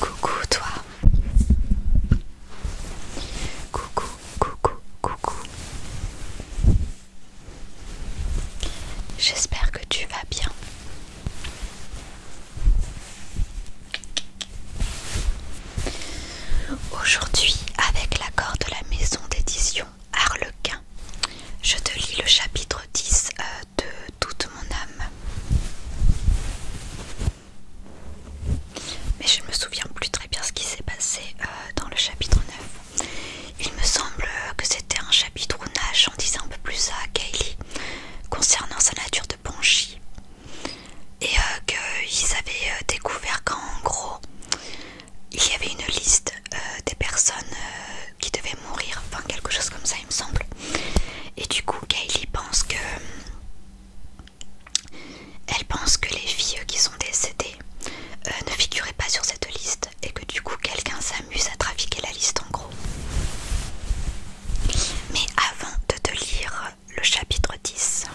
Coucou toi. Coucou, coucou, coucou. J'espère que tu vas bien. Aujourd'hui, avec l'accord de la maison d'édition Arlequin, Harlequin. Je te lis le chapitre 10 euh, de Toute mon âme. Mais je ne me souviens plus très bien ce qui s'est passé euh, dans le chapitre 9. Il me semble que c'était un chapitre où Nash en disait un peu plus à Kaylee concernant sa nature de Banshee. Et euh, qu'ils avaient découvert qu'en gros, il y avait une liste euh, des personnes euh, qui devaient mourir, enfin quelque chose comme ça il me semble. Et du coup Kylie pense que... Elle pense que les filles euh, qui sont décédées ne figuraient pas sur cette liste et que du coup quelqu'un s'amuse à trafiquer la liste en gros. Mais avant de te lire le chapitre 10,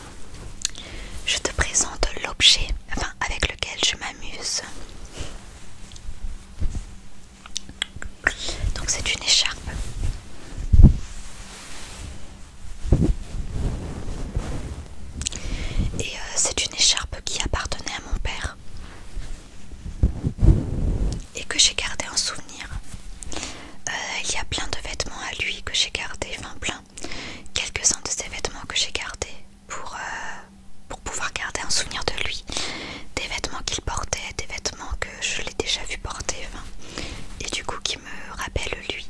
je te présente l'objet avec lequel je m'amuse. Donc c'est une écharpe. Et euh, c'est une écharpe qui appartenait à mon père. Et que j'ai gardé en souvenir. Euh, il y a plein de vêtements à lui que j'ai gardé, enfin plein. Quelques-uns de ces vêtements que j'ai gardés pour, euh, pour pouvoir garder un souvenir de lui, des vêtements qu'il portait, des vêtements que je l'ai déjà vu porter, et du coup qui me rappellent lui.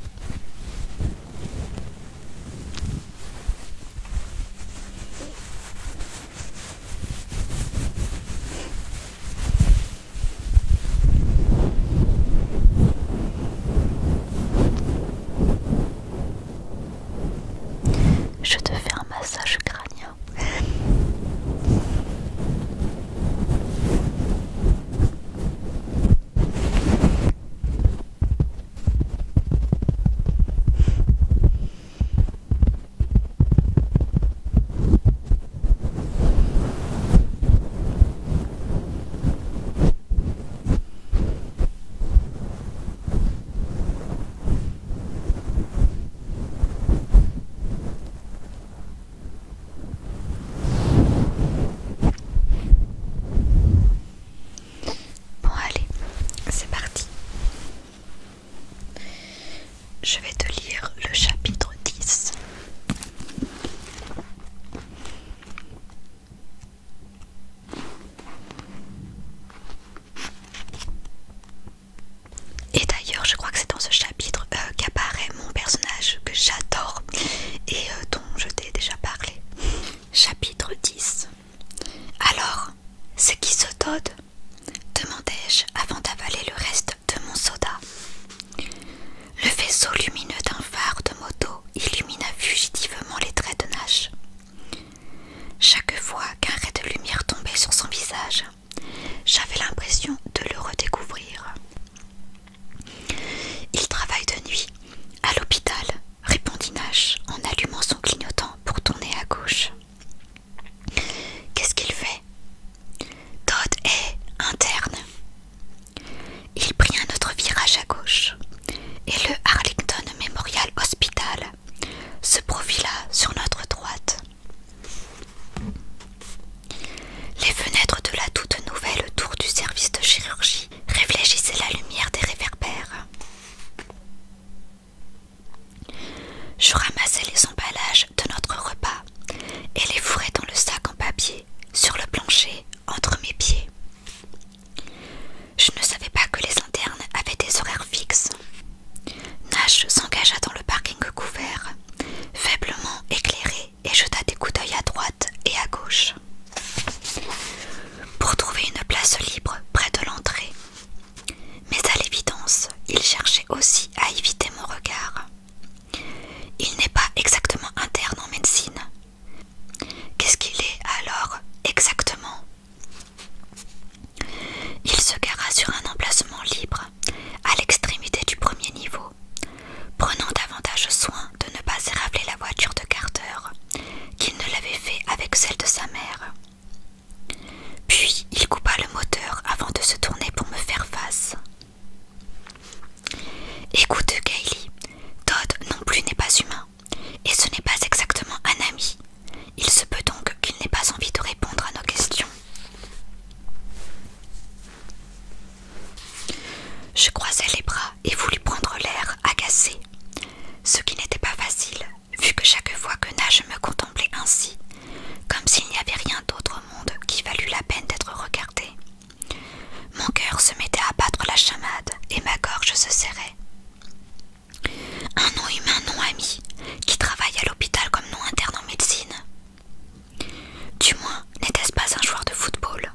Je te fais un massage crânien. Bon allez, c'est parti. Je vais te lire le chapitre 10. Et d'ailleurs, je crois que c'est dans ce chapitre euh, qu'apparaît mon personnage que j'adore et euh, dont je t'ai déjà parlé. Chapitre 10 Alors, ce qui se dode demandai-je avant d'avaler le reste de mon soda. Le vaisseau lumineux d'un phare de moto illumina fugitivement les traits de Nash. Chaque fois qu'un ray de lumière tombait sur son visage, j'avais l'impression de le redécouvrir. Il travaille de nuit, à l'hôpital, répondit Nash en allumant son clignotant pour tourner à gauche. Qu'est-ce qu'il fait Todd est interne. Il prit un autre virage à gauche et le Arlington Memorial Hospital ce profil profila sur notre droite. Les fenêtres de la toute nouvelle tour du service de chirurgie réfléchissaient la lumière des réverbères. Je ramassais les emballages de notre repas et les fourrais dans le sac en papier sur le plancher entre mes pieds. Je ne savais pas que les internes avaient des horaires fixes. Nash s'engagea dans le parking couvert, faiblement éclairé, et jeta des coups d'œil à droite et à gauche. Pour trouver une place libre près de l'entrée. Mais à l'évidence, il cherchait aussi à éviter mon regard. Il n'est pas exactement interne en médecine. Qu'est-ce qu'il est alors exactement il se gara sur un emplacement libre, à l'extrémité du premier niveau, prenant davantage soin de ne pas érafler la voiture de Carter qu'il ne l'avait fait avec celle de sa mère. Puis il coupa le moteur avant de se tourner pour me faire face. Écoute, Kaylee, Todd non plus n'est pas humain et ce n'est pas exactement un ami. Il se peut donc qu'il n'ait pas envie de répondre à nos questions. Je croisais les bras et voulus prendre l'air agacé, ce qui n'était pas facile, vu que chaque fois que Nage me contemplait ainsi, comme s'il n'y avait rien d'autre au monde qui valût la peine d'être regardé. Mon cœur se mettait à battre la chamade et ma gorge se serrait. Un nom humain non ami qui travaille à l'hôpital comme non interne en médecine. Du moins, n'était-ce pas un joueur de football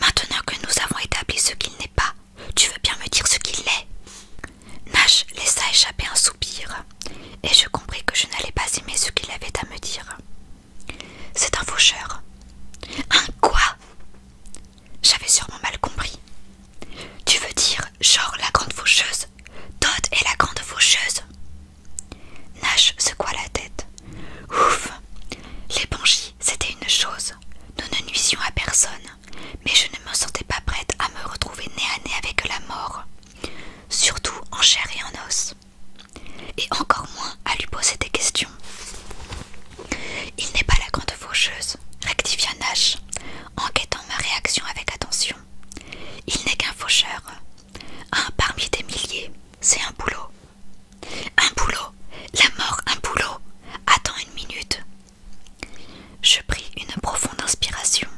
Maintenant que nous avons établi ce qu'il n'est pas, tu veux bien me dire ce qu'il est Nash laissa échapper un soupir, et je compris que je n'allais pas aimer ce qu'il avait à me dire. C'est un faucheur. Un quoi j'avais sûrement mal compris. Tu veux dire, genre la grande faucheuse Todd est la grande faucheuse Nash secoua la tête. Ouf Les L'épanchie, c'était une chose. Nous ne nuisions à personne, mais je ne me sentais pas prête à me retrouver nez à nez avec la mort, surtout en chair et en os, et encore moins à lui poser des questions. Il n'est pas la grande faucheuse, rectifia Nash, enquêtant ma réaction avec attention. Il n'est qu'un faucheur, un parmi des milliers, c'est un boulot. Un boulot, la mort, un boulot. Attends une minute. Je pris une profonde inspiration,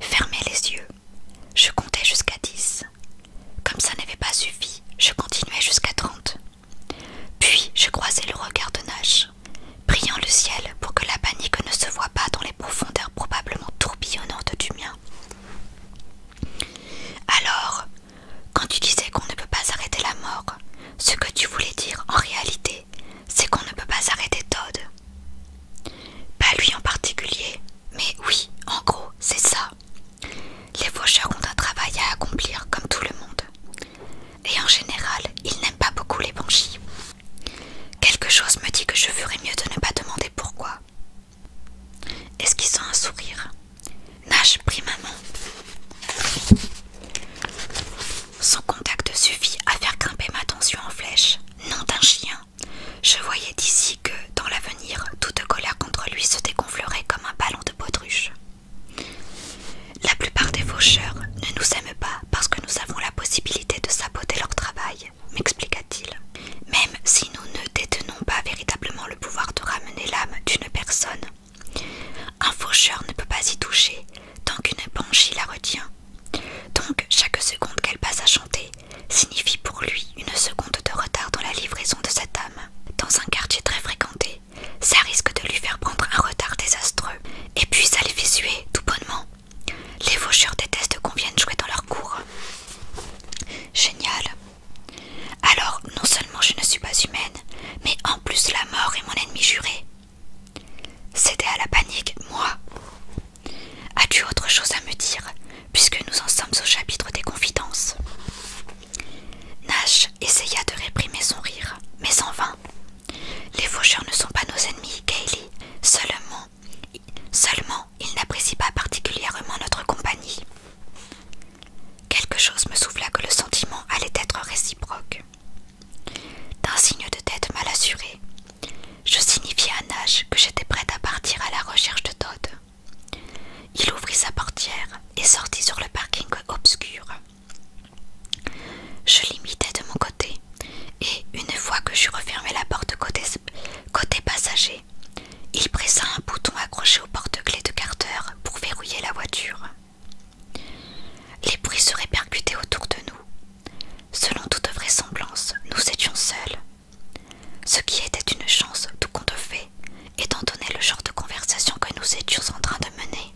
fermai les yeux. Je comptais jusqu'à dix. Comme ça n'avait pas suffi, je continuai jusqu'à trente. Puis je croisais le regard de Nash, priant le ciel pour que la panique ne se voie pas dans les profondeurs probablement tourbillonnantes du mien. Alors, quand tu disais qu'on ne peut pas arrêter la mort, ce que tu voulais dire en réalité, c'est qu'on ne peut pas arrêter Todd. Pas lui en particulier, mais oui, en gros, c'est ça. Les faucheurs ont un travail à accomplir comme tout le monde et en général, il n'aime pas beaucoup les banshees. Quelque chose me dit que je ferais mieux de ne pas demander pourquoi. Est-ce sent un sourire, Nash prit maman. Son contact suffit à faire grimper ma tension en flèche. non d'un chien. Je voyais d'ici que, dans l'avenir, toute colère contre lui se dégonflerait comme un ballon de baudruche. La plupart des faucheurs ne nous aiment pas parce que nous avons la possibilité de saboter leur travail, m'expliqua-t-il. Même si nous ne détenons pas véritablement le pouvoir de ramener l'âme d'une personne, un faucheur ne peut pas y toucher tant qu'une banshee la retient. Donc chaque seconde qu'elle passe à chanter signifie pour lui une seconde de retard dans la livraison de cette âme. Dans un quartier très fréquenté, ça risque de lui faire prendre un retard désastreux, et puis ça les fait tout bonnement. Les Vaucheurs détestent qu'on vienne jouer dans leur cour. Génial. Alors, non seulement je ne suis pas humaine, mais en plus la mort est mon ennemi juré. C'était à la panique, moi. As-tu autre chose à me dire, puisque nous en sommes au chapitre des confidences Nash essaya de réprimer son rire, mais en vain. Les faucheurs ne sont pas nos ennemis, Kaylee. Seulement, seulement, ils n'apprécient pas particulièrement notre compagnie. Quelque chose me souffla que le sentiment allait être réciproque. D'un signe de tête mal assuré, je signifiai à Nash que j'étais prête à partir à la recherche de Todd. Il ouvrit sa portière et sortit sur le parking obscur. Je l'imitai de mon côté, et une fois que j'eus refermé la porte côté, passager, il pressa un bouton accroché au porte-clés de Carter pour verrouiller la voiture. Les bruits se répercutaient autour de nous. Selon toute vraisemblance, nous étions seuls. Ce qui était une chance, tout compte fait, étant donné le genre de conversation que nous étions en train de mener.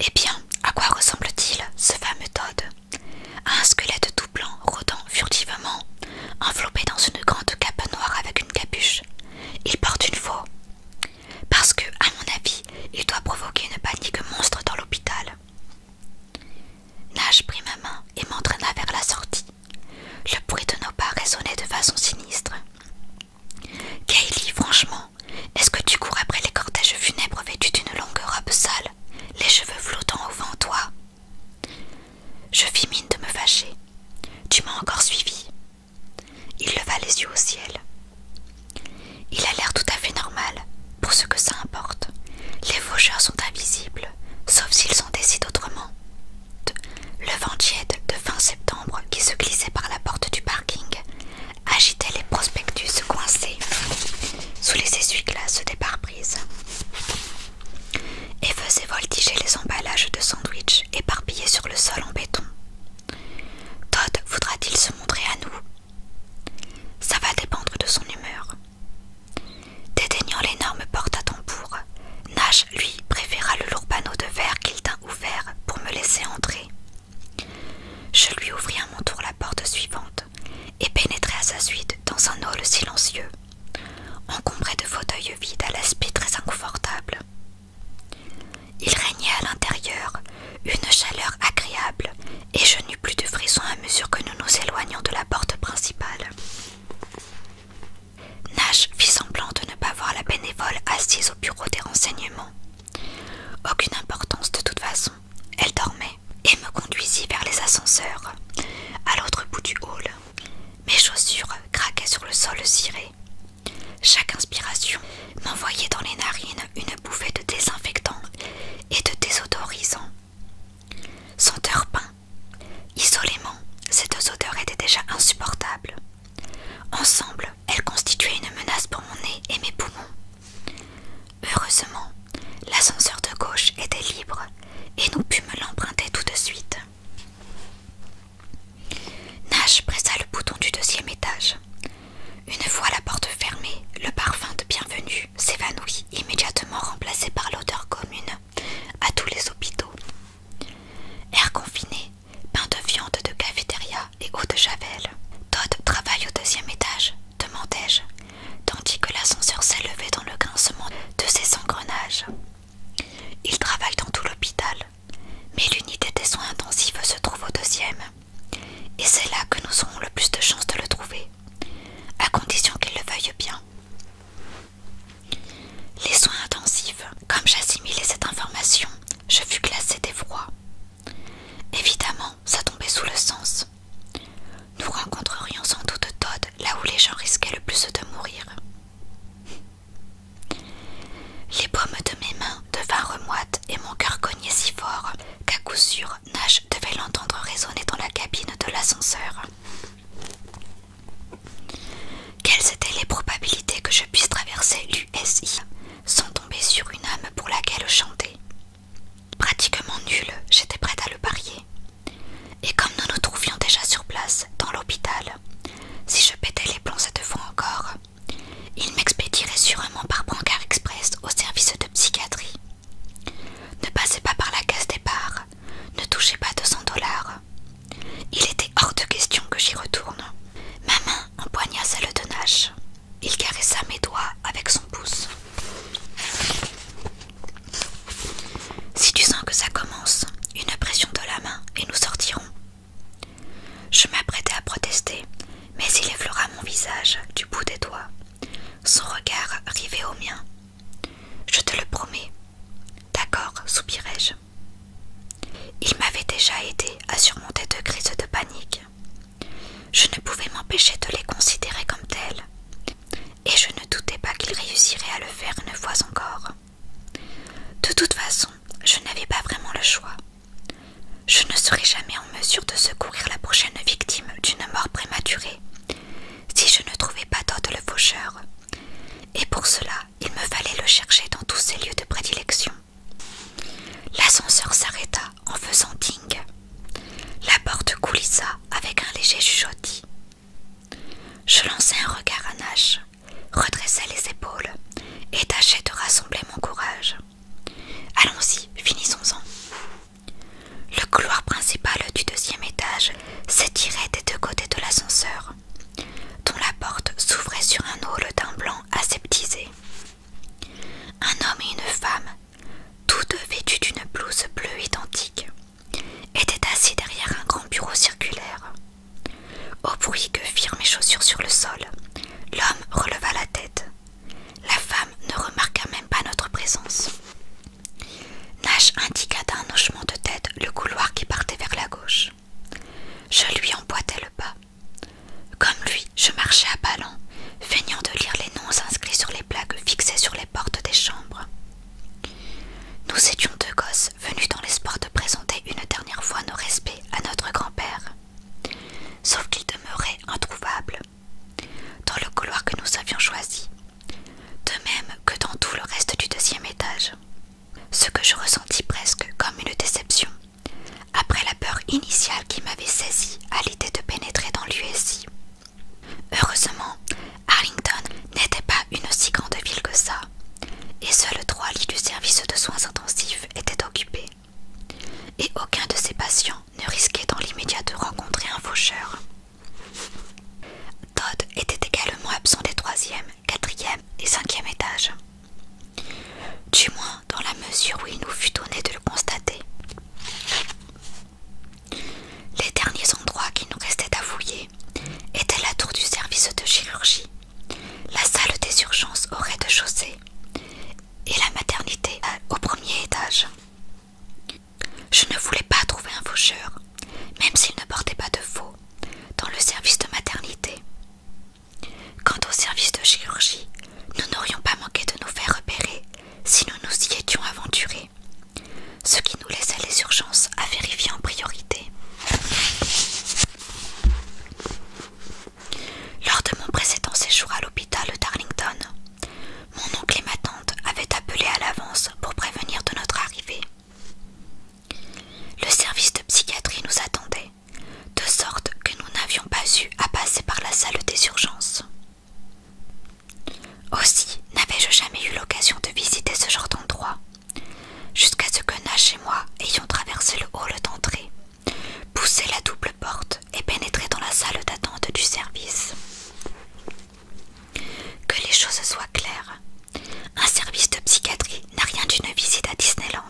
Eh bien, à quoi ressemble-t-il, ce fameux Todd à Un squelette tout blanc rôdant furtivement, enveloppé dans une grande cape noire avec une capuche. Il porte une faux. Parce que, à mon avis, il doit provoquer une panique monstre dans l'hôpital. Nage prit ma main et m'entraîna vers la sortie. Le bruit de nos pas résonnait de façon sinistre. Kaylee, franchement, est-ce que tu cours après les cortèges funèbres vêtus d'une longue robe sale, les cheveux flottant au vent, toi Je fis mine de me fâcher. Tu m'as encore suivi. Il leva les yeux au ciel. Il a l'air tout à fait normal, pour ce que ça importe. Les faucheurs sont invisibles, sauf s'ils en décident autrement. Le vent tiède de fin septembre qui se glissait par la porte du parking agitait les prospectus coincés sous les essuie-glaces des pare-brises et faisait voltiger les emballages de sandwich éparpillés sur le sol en béton. Todd voudra-t-il se montrer à nous Ça va dépendre de son humeur. Dédaignant l'énorme porte à tambour, Nash, lui, préféra le lourd panneau de verre qu'il tint ouvert pour me laisser entrer. Je lui ouvris à mon tour la porte suivante et pénétrai à sa suite dans un hall silencieux, encombré de fauteuils vides à l'aspect très inconfortable. Il régnait à l'intérieur une chaleur agréable et je n'eus plus de frissons à mesure que nous nous éloignions de la porte principale. Nash fit semblant de ne pas voir la bénévole assise au bureau des renseignements. Aucune importance de toute façon, elle dormait et me conduisit vers les ascenseurs, à l'autre bout du hall. Mes chaussures craquaient sur le sol ciré. Chaque inspiration m'envoyait dans les narines une bouffée de désinfectant et de désodorisant. Senteur peint, Isolément, cette odeur odeurs étaient déjà insupportable Ensemble, elles constituaient une menace pour mon nez et mes poumons. Heureusement, l'ascenseur de gauche était libre et nous pûmes l'emprunter tout de suite. Nash pressa le bouton du deuxième étage. Une fois la porte fermée, le parfum de bienvenue s'évanouit, immédiatement remplacé par l'odeur commune à tous les hôpitaux. Air confiné, pain de viande de cafétéria et eau de javel. Todd travaille au deuxième étage, demandai-je, tandis que l'ascenseur s'élevait dans le grincement de ses engrenages. Il travaille dans tout l'hôpital, mais l'unité des soins intensifs se trouve au deuxième, et c'est là que nous aurons le plus de chances de le trouver, à condition qu'il le veuille bien. Les soins intensifs, comme j'assimilais cette information, je fus classé d'effroi. Évidemment, ça tombait sous le sens. Nous rencontrerions sans doute Todd là où les gens risquaient le plus de mourir. Les paumes de mes mains devinrent remoites et mon cœur cognait si fort qu'à coup sûr Nash devait l'entendre résonner dans la cabine de l'ascenseur. Quelles étaient les probabilités que je puisse traverser l'USI sans tomber sur une âme pour laquelle chanter Pratiquement nulle, j'étais prête à le parier. Et comme nous nous trouvions déjà sur place, dans l'hôpital, si je pétais les plombs cette fois encore, il m'expédierait sûrement par brancard express au service de psychiatrie. Ne passez pas par la caisse départ, ne touchez pas 200 dollars, il était hors de question que j'y retourne. Ma main empoigna celle de Nash. Il caressa mes doigts avec son pouce. Si tu sens que ça commence, une pression de la main et nous sortirons. Je m'apprêtais à protester, mais il effleura mon visage du bout des doigts, son regard rivait au mien. Je te le promets. D'accord, soupirai-je. Il m'avait déjà aidé à surmonter deux crises de panique. Je ne pouvais m'empêcher de les considérer comme telles, et je ne doutais pas qu'il réussirait à le faire une fois encore. De toute façon, je n'avais pas vraiment le choix. Je ne serais jamais en mesure de secourir la prochaine victime d'une mort prématurée si je ne trouvais pas Todd le faucheur. Et pour cela, il me fallait le chercher dans tous ses lieux de prédilection. L'ascenseur s'arrêta en faisant ting La porte coulissa avec un léger chuchotis. Je lançai un regard à Nash, redressai les épaules et tâchai de rassembler mon courage. Allons-y, finissons-en. Le couloir principal du deuxième étage s'étirait des deux côtés de l'ascenseur dont la porte s'ouvrait sur un hall d'un blanc aseptisé. Un homme et une femme, tous deux vêtus d'une blouse bleue identique, étaient assis derrière un grand bureau circulaire. Au bruit que firent mes chaussures sur le sol, l'homme releva la tête. La femme ne remarqua même pas notre présence. Nash indiqua d'un hochement de tête le couloir qui partait vers la gauche. Je lui emboîtais le pas. Comme lui, je marchais à ballons, feignant de lire les noms inscrits sur les plaques fixées sur les portes des chambres. Nous étions deux gosses venus dans l'espoir de présenter une dernière fois nos respects à notre grand-père. Sauf qu'il demeurait introuvable dans le couloir que nous avions choisi, de même que dans tout le reste du deuxième étage. Ce que je ressentis presque comme une déception, après la peur initiale qui m'avait saisi à l'idée de pénétrer dans l'USI. Heureusement, Arlington n'était pas une si grande ville que ça, et seuls trois lits du service de soins intensifs étaient occupés, et aucun de ces patients ne risquait dans l'immédiat de rencontrer un faucheur. Todd était également absent des troisième, quatrième et cinquième étage, Du moins dans la mesure où il nous fut donné de le constater. Les derniers endroits qui nous restaient à fouiller étaient la tour du service de chirurgie, la salle des urgences au rez-de-chaussée et la maternité euh, au premier étage. Je ne voulais pas trouver un faucheur, même s'il ne portait pas de faux, dans le service de maternité. Quant au service de chirurgie, nous n'aurions pas manqué de nous faire repérer si nous nous y étions aventurés, ce qui nous laissait les urgences à vérifier en priorité. Lors de mon précédent séjour à l'hôpital de Darlington, mon oncle et ma tante avaient appelé à l'avance pour prévenir de notre arrivée. Le service de psychiatrie nous attendait, de sorte que nous n'avions pas eu à passer par la salle des urgences. Aussi n'avais-je jamais eu l'occasion de visiter ce genre d'endroit, jusqu'à ce que Nash et moi ayons traversé le hall d'entrée, poussé la double porte et pénétré dans la salle d'attente du service. Que les choses soient claires, un service de psychiatrie n'a rien d'une visite à Disneyland.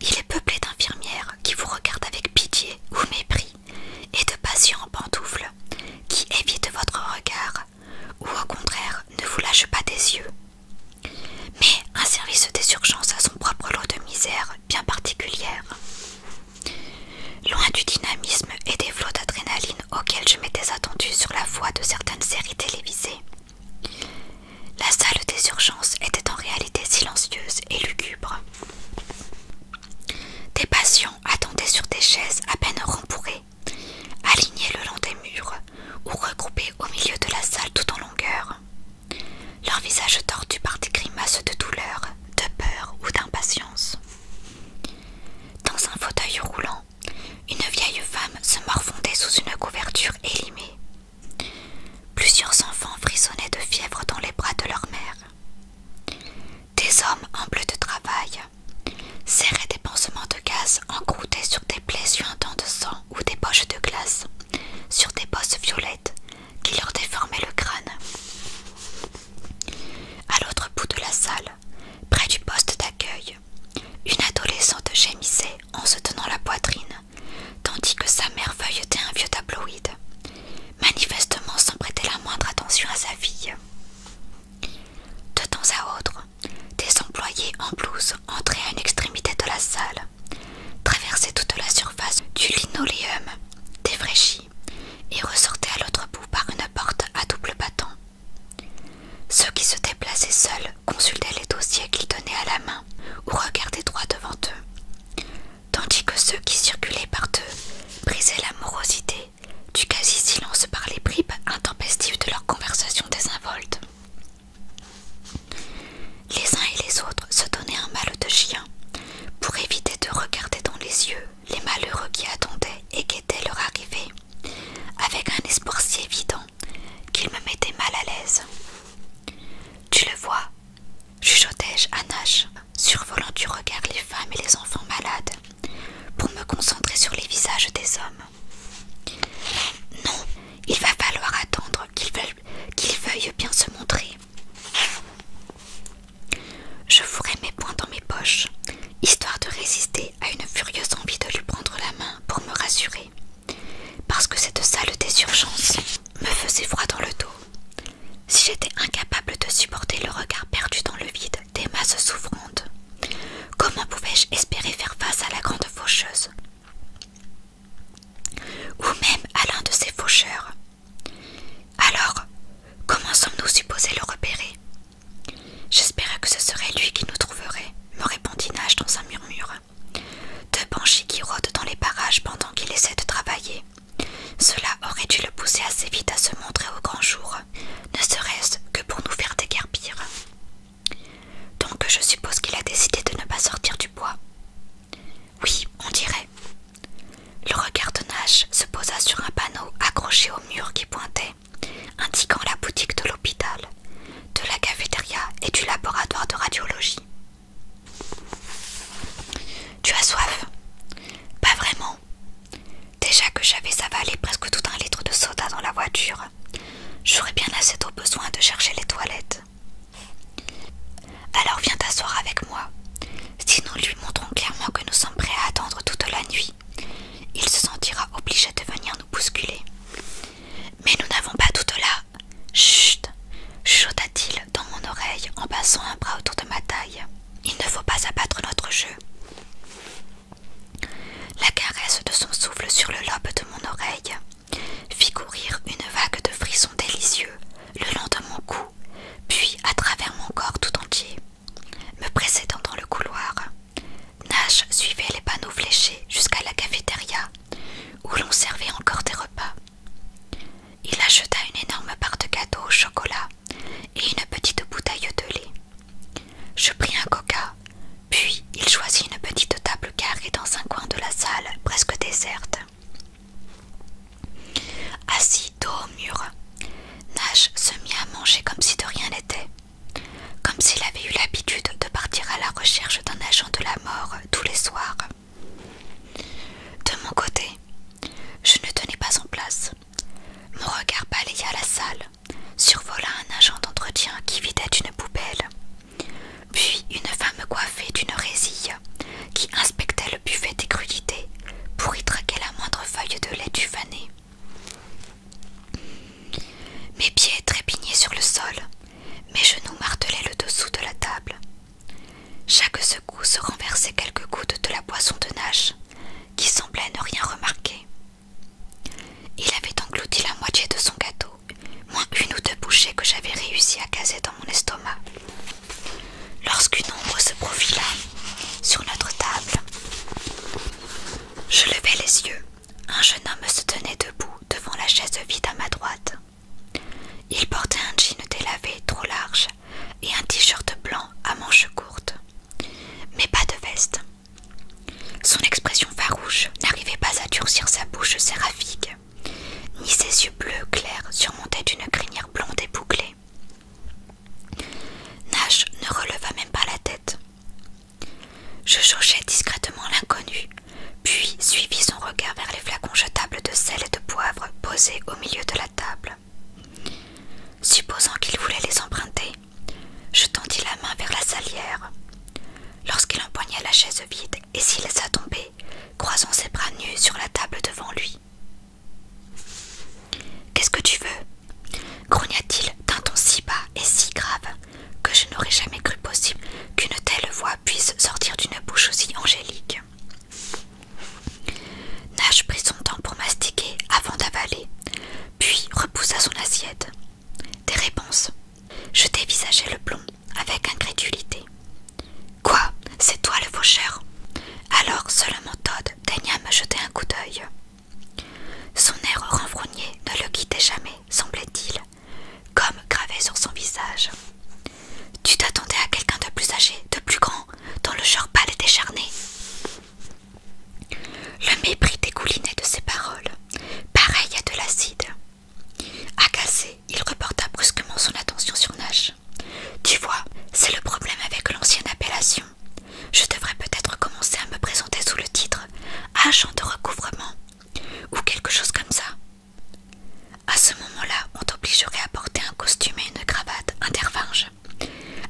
Il est peuplé d'infirmières qui vous regardent avec pitié ou mépris, et de patients en pantoufles qui évitent votre regard ou au contraire ne vous lâchent pas des yeux. Mais un service des urgences a son propre lot de misère bien particulière. Loin du dynamisme et des flots d'adrénaline auxquels je m'étais attendu sur la voie de certaines séries télévisées, la salle des urgences était en réalité silencieuse et lugubre. Des patients attendaient sur des chaises à peine rembourrées, alignées le long des murs ou regroupés au milieu de la salle tout en longueur, leurs visages tordus par des grimaces de douleur, de peur ou d'impatience. Dans un fauteuil roulant une vieille femme se morfondait sous une couverture élimée. Plusieurs enfants frissonnaient de fièvre dans les bras de leur mère. Des hommes en de travail serraient des pansements de gaz encroutés sur des plaies suintantes de sang ou des poches de glace, sur des bosses violettes qui leur déformaient le crâne. À l'autre bout de la salle, près du poste d'accueil. Une adolescente gémissait en se tenant la poitrine, tandis que sa mère feuilletait un vieux tabloïde, manifestement sans prêter la moindre attention à sa fille. De temps à autre, des employés en blouse entraient à une extrémité de la salle, traversaient toute la surface du linoléum défraîchi et ressortaient à l'autre bout par une porte à double battant. Ceux qui se déplaçaient seuls consultaient les dossiers qu'ils tenaient à la main ou regardaient droit devant eux, tandis que ceux qui circulaient par deux brisaient la morosité du quasi-silence par les bribes intempestives de leur conversation désinvolte. Les uns et les autres se donnaient un mal de chien pour éviter de regarder dans les yeux les malheureux qui attendaient et guettaient leur arrivée, avec un espoir si évident qu'il me mettait mal à l'aise. Tu le vois, juchotais je à survolant du regard les femmes et les enfants malades, pour me concentrer sur les visages des hommes. Non, il va falloir attendre Qu'ils veuillent bien se montrer. Je fourrai mes poings dans mes poches, histoire de résister à une furieuse envie de lui prendre la main pour me rassurer, parce que cette sale désurgence me faisait froid dans le dos. Si j'étais incapable de supporter le regard perdu dans le vide des masses souffrantes, comment pouvais-je espérer faire face à la grande faucheuse ou même à l'un de ses faucheurs Alors, comment sommes-nous supposés le repérer J'espérais que ce serait lui qui nous trouverait, me répondit Nash dans un murmure. Deux banshees qui rôdent dans les parages pendant qu'il essaie de travailler. Cela aurait dû le pousser assez vite à se montrer au grand jour, ne serait-ce que pour nous faire déguerpir. Donc je suppose qu'il a décidé de ne pas sortir du bois. Oui, on dirait. Le regard de Nash se posa sur un panneau accroché au mur qui pointait indiquant la boutique de l'hôpital, de la cafétéria et du laboratoire de radiologie. Tu as soif Pas vraiment. Déjà que j'avais avalé presque tout un litre de soda dans la voiture. J'aurais bien assez d'eau besoin de chercher les toilettes. Alors viens t'asseoir avec moi. Si nous lui montrons clairement que nous sommes prêts à attendre toute la nuit, il se sentira obligé de venir nous bousculer. Mais nous n'avons pas tout là. Chut chuchota-t-il dans mon oreille en passant un bras autour de ma taille. Il ne faut pas abattre notre jeu. La caresse de son souffle sur le lobe de mon oreille fit courir une vague de frissons délicieux le long de mon cou, puis à travers mon corps tout entier, me précédant dans le couloir. Nash suivait les panneaux fléchés jusqu'à la cafétéria, où l'on servait encore des repas. Il acheta une énorme part de gâteau au chocolat et une petite bouteille de lait. Je pris un coca, puis il choisit une petite table carrée dans un coin de la salle presque déserte. Assis dos au mur, Nash se mit à manger comme si de rien n'était comme s'il avait eu l'habitude de partir à la recherche d'un agent de la mort tous les soirs. De mon côté, je ne tenais pas en place. Mon regard balaya la salle, survola un agent d'entretien qui vidait une poubelle, puis une femme coiffée d'une résille qui inspectait le buffet des crudités pour y traquer la moindre feuille de lait du fané. Mes pieds trépignaient sur le sol, mes genoux martelaient le dessous de la table. Chaque se renversait quelques gouttes de la boisson de nage qui semblait ne rien remarquer. Il avait englouti la moitié de son gâteau, moins une ou deux bouchées que j'avais réussi à caser dans mon estomac. Lorsqu'une ombre se profila sur notre table, je levai les yeux. Un jeune homme se tenait debout devant la chaise vide à ma droite. Il portait un jean délavé trop large et un t-shirt blanc à manches courtes, mais pas de veste. Son expression farouche n'arrivait pas à durcir sa bouche séraphique, ni ses yeux bleus clairs surmontaient d'une crinière blonde et bouclée. Nash ne releva même pas la tête. Je jaugeai discrètement l'inconnu, puis suivis son regard vers les flacons jetables de sel et de poivre posés au milieu de la table. Supposant qu'il voulait les emprunter, je tendis la main vers la salière. Lorsqu'il empoigna la chaise vide et s'y laissa tomber, croisant ses bras nus sur la table devant lui. Qu'est-ce que tu veux grogna-t-il d'un ton si bas et si grave que je n'aurais jamais cru possible qu'une telle voix puisse sortir d'une bouche aussi angélique. Nash prit son temps pour mastiquer avant d'avaler, puis repoussa son assiette. Des réponses. Je dévisageai le plomb avec incrédulité. Quoi C'est toi le faucheur Alors seulement Todd daigna me jeter un coup d'œil. Son air renfrogné ne le quittait jamais, semblait-il, comme gravé sur son visage. Tu t'attendais à quelqu'un de plus âgé, de plus grand, dont le genre pâle et décharné. Le mépris dégoulinait de ses paroles, pareil à de l'acide. Agacé, il reporta brusquement son attention sur Nash. Tu vois, c'est le problème avec l'ancienne appellation. Je devrais peut-être commencer à me présenter sous le titre agent de recouvrement ou quelque chose comme ça. À ce moment-là, on t'obligerait à porter un costume et une cravate intervinge,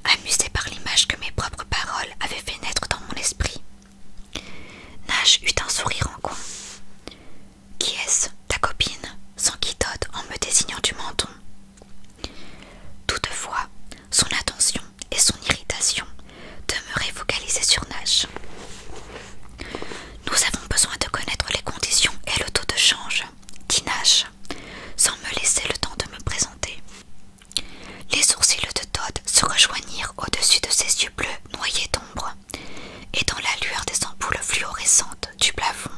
amusé par l'image que mes propres paroles avaient fait naître dans mon esprit. Nash eut un sourire en coin. Qui est-ce Ta copine d'autre en me désignant du menton. Toutefois, son attention et son irritation demeuraient focalisées sur Nash. Nous avons besoin de connaître les conditions et le taux de change, dit Nash, sans me laisser le temps de me présenter. Les sourcils de Todd se rejoignirent au-dessus de ses yeux bleus noyés d'ombre, et dans la lueur des ampoules fluorescentes du plafond,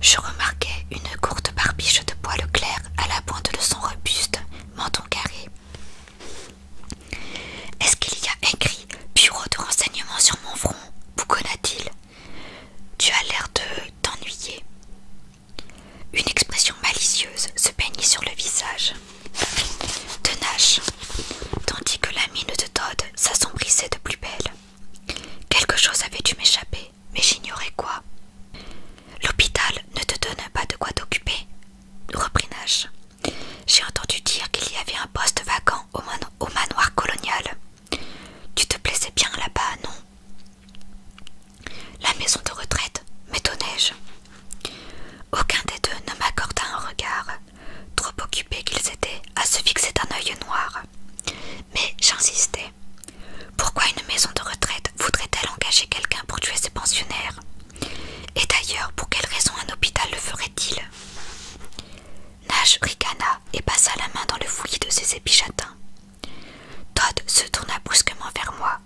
je remarquai une courte barbiche de poil clair à la pointe de son robuste menton carré. Est-ce qu'il y a écrit bureau de renseignement sur mon front bouconna-t-il. Tu as l'air de t'ennuyer. Une expression malicieuse se peignit sur le visage de Nash, tandis que la mine de Todd s'assombrissait de plus belle. Quelque chose avait dû m'échapper, mais j'ignorais quoi. L'hôpital ne te donne pas de quoi t'occuper, reprit Nash. J'ai entendu dire qu'il y avait un poste vacant au, au manoir colonial. Tu te plaisais bien là-bas, non La maison de retraite m'étonnais-je. Aucun des deux ne m'accorda un regard, trop occupés qu'ils étaient à se fixer d'un œil noir. Mais j'insistais. Pourquoi une maison de retraite voudrait-elle engager quelqu'un pour tuer ses pensionnaires Et d'ailleurs, pour quelle raison un hôpital le ferait-il Nash ricana et passa la main dans le fouillis de ses épichatins. Todd se tourna brusquement vers moi.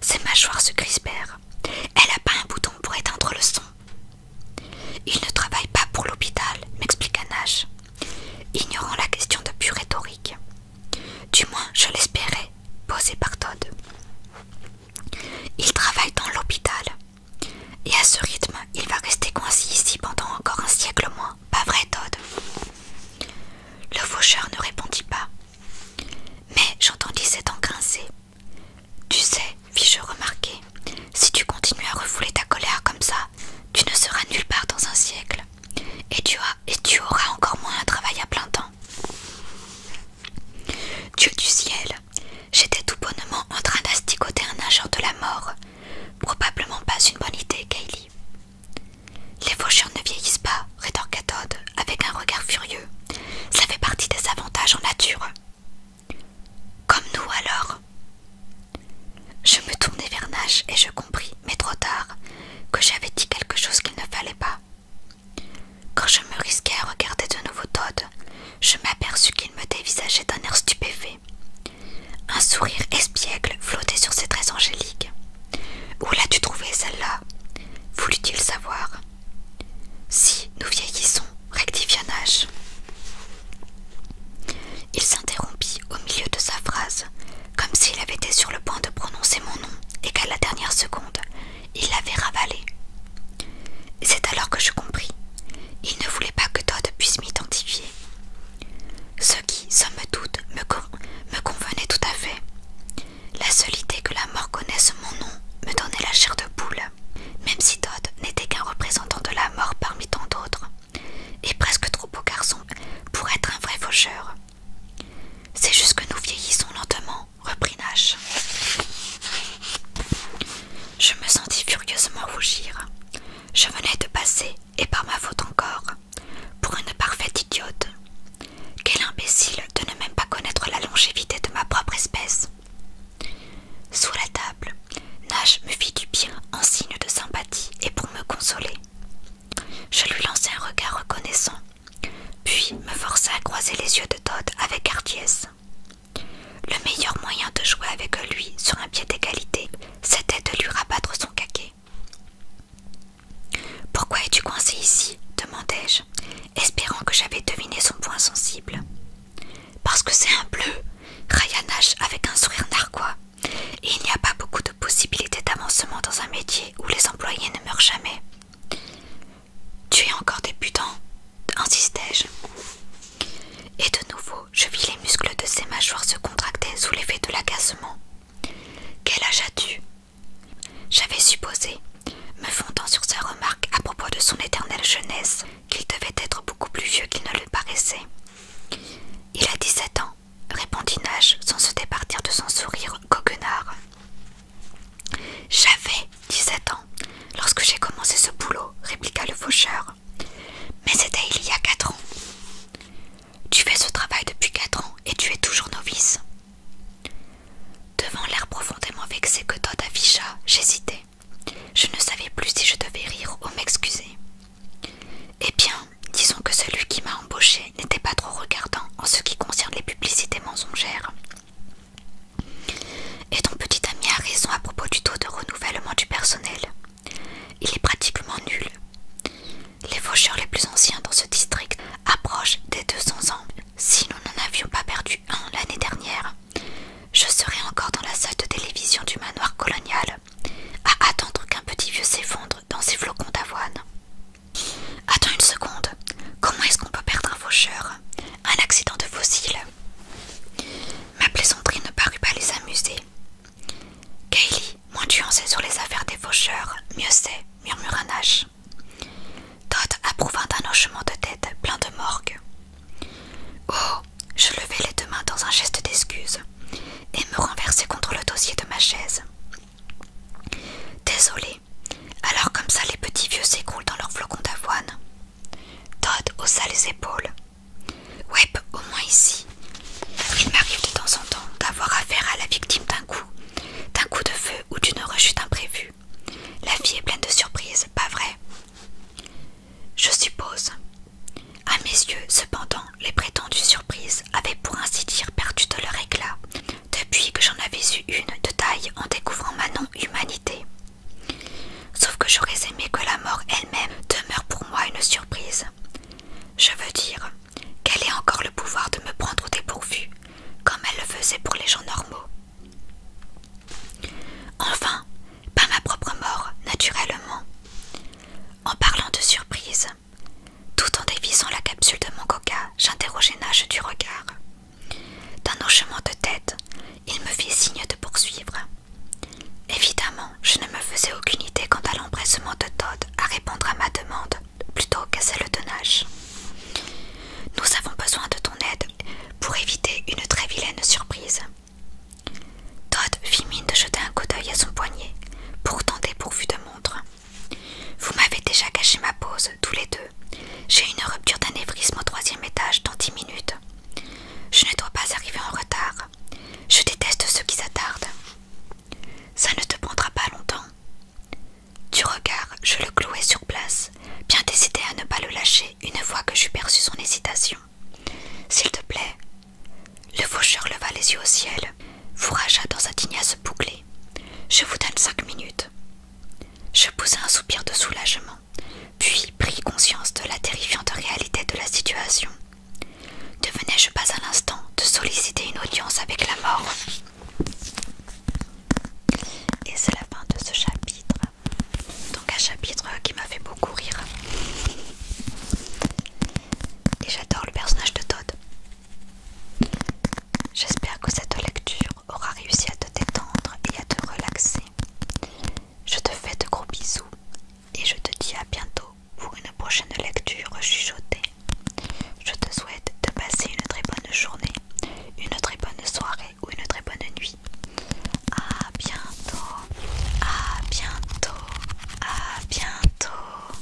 Ses mâchoires se crispèrent. Elle a pas un bouton pour éteindre le son. Il ne travaille pas pour l'hôpital, m'expliqua Nash, ignorant la question de pure rhétorique. Du moins, je l'espérais, posé par Todd. Il travaille dans l'hôpital. Et à ce rythme, il va rester coincé ici pendant encore un siècle au moins, pas vrai, Todd Le faucheur ne répondit pas. Mais j'entendis cet dents Tu sais, fis-je remarquer, si tu continues à refouler ta colère comme ça, tu ne seras nulle part dans un siècle et tu, auras encore moins un travail à plein temps. Dieu du ciel, j'étais tout bonnement en train d'astigoter un agent de la mort. Probablement pas une bonne idée, Kaylee. Les fauchures ne vieillissent pas, rétorqua Todd avec un regard furieux. Ça fait partie des avantages en nature. Comme nous alors Je me tournai vers Nash et je compris, mais trop tard, que j'avais dit quelque chose qu'il ne fallait pas. Quand je me risquai à regarder de nouveau Todd, je m'aperçus qu'il me dévisageait d'un air stupéfait. Un sourire espiègle flottait sur ses traits angéliques. Où l'as-tu trouvée, celle-là voulut-il savoir. Si nous vieillissons, rectifia âge. » Il s'interrompit au milieu de sa phrase comme s'il avait été sur le point de prononcer mon nom et qu'à la dernière seconde, il l'avait ravalé. C'est alors que je compris. Il ne voulait pas que Todd puisse m'identifier. Ce qui, somme toute, me, me convenait tout à fait. La seule idée que la mort connaisse mon nom me donnait la chair de poule, même si Todd n'était qu'un représentant de la mort parmi tant d'autres, et presque trop beau garçon pour être un vrai faucheur. C'est juste que nous vieillissons lentement, reprit Nash. Je me sentis furieusement rougir. Je venais de passer, et par ma faute encore, pour une parfaite idiote. Quel imbécile de ne même pas connaître la longévité de ma propre espèce. Sous la table, Nash me fit du bien en signe de sympathie et pour me consoler. Je lui lançai un regard reconnaissant puis me força à croiser les yeux de Todd avec hardiesse. Le meilleur moyen de jouer avec lui sur un pied d'égalité, c'était de lui rabattre son caquet. Pourquoi es-tu coincé ici demandai-je, espérant que j'avais deviné son point sensible. Parce que c'est un bleu, Ryan avec un sourire narquois, et il n'y a pas beaucoup de possibilités d'avancement dans un métier où les employés ne meurent jamais. Tu es encore débutant, insistai-je. Et de nouveau, je vis les muscles de ses mâchoires se contracter sous l'effet de l'agacement. Quel âge as-tu J'avais supposé, me fondant sur sa remarque à propos de son éternelle jeunesse, qu'il devait être beaucoup plus vieux qu'il ne le paraissait. Il a 17 ans, répondit Nash sans se départir de son sourire coquenard. « J'avais dix-sept ans lorsque j'ai commencé ce boulot, répliqua le faucheur. Mais c'était il y a quatre ans. Tu fais ce travail depuis quatre ans et tu es toujours novice. Devant l'air profondément vexé que Todd afficha, j'hésitais. Je ne savais plus si je devais rire ou m'excuser. Eh bien, disons que celui qui m'a embauché n'était pas trop regardant en ce qui concerne les publicités mensongères. Et ton petit ami a raison à propos du taux de renouvellement du personnel. Il est pratiquement nul. Les faucheurs les plus anciens dans ce district approchent des 200 ans. Si nous n'en avions pas perdu un l'année dernière, je serais encore dans la salle de télévision du manoir colonial, à attendre qu'un petit vieux s'effondre dans ses flocons d'avoine. Attends une seconde. Comment est-ce qu'on peut perdre un faucheur Un accident de fossile Ma plaisanterie ne parut pas les amuser. Kaylee, moins tu en sais sur les affaires des faucheurs, mieux c'est, murmura Nash. Todd approuva d'un hochement de tête plein de morgue. Oh Je levai les deux mains dans un geste d'excuse et me renversai contre le dossier de ma chaise. Désolé. Alors comme ça les petits vieux s'écroulent dans leur flocons d'avoine. Todd haussa les épaules. Webb, au moins ici. Il m'arrive de temps en temps d'avoir affaire à la victime d'un coup, d'un coup de feu ou d'une rechute imprévue. La vie est pleine de surprises, pas vrai Je suppose. À mes yeux, cependant, les prétendues surprises avaient pour ainsi dire perdu de leur éclat, depuis que j'en avais eu une de taille en découvrant ma non-humanité. Sauf que j'aurais aimé que la mort elle-même demeure pour moi une surprise. Je veux dire qu'elle ait encore le pouvoir de me prendre au dépourvu, comme elle le faisait pour les gens normaux. Enfin, pas ma propre mort, naturellement. En parlant de surprise, tout en dévisant la capsule de mon coca, j'interrogeai Nash du regard. D'un hochement de tête, il me fit signe de poursuivre. Évidemment, je ne me faisais aucune idée quant à l'empressement de Todd à répondre à ma demande plutôt qu'à celle de Nash. Nous avons besoin de ton aide pour éviter une très vilaine surprise. Todd fit mine de jeter un coup d'œil à son poignet, pourtant dépourvu de montre. Vous m'avez déjà caché ma pause, tous les deux. J'ai une rupture d'anévrisme au troisième étage dans dix minutes. Je ne dois pas arriver en retard. Je déteste ceux qui s'attardent. Ça ne te prendra pas longtemps. Du regard, je le clouai sur place, bien décidé à ne pas le lâcher une fois que j'eus perçu son hésitation. S'il te plaît. Le faucheur leva les yeux au ciel, ragea dans sa tignasse bouclée je vous donne cinq minutes. Je poussai un soupir de soulagement, puis pris conscience de la terrifiante réalité de la situation. Devenais-je pas à l'instant de solliciter une audience avec la mort Et c'est la fin de ce chapitre. Donc un chapitre qui m'a fait beaucoup rire. Et j'adore le personnage de Todd. J'espère que cette lecture aura réussi à te détendre et à te relaxer. Je te fais de gros bisous et je te dis à bientôt pour une prochaine lecture chuchotée. Je te souhaite de passer une très bonne journée, une très bonne soirée ou une très bonne nuit. A bientôt, à bientôt, à bientôt.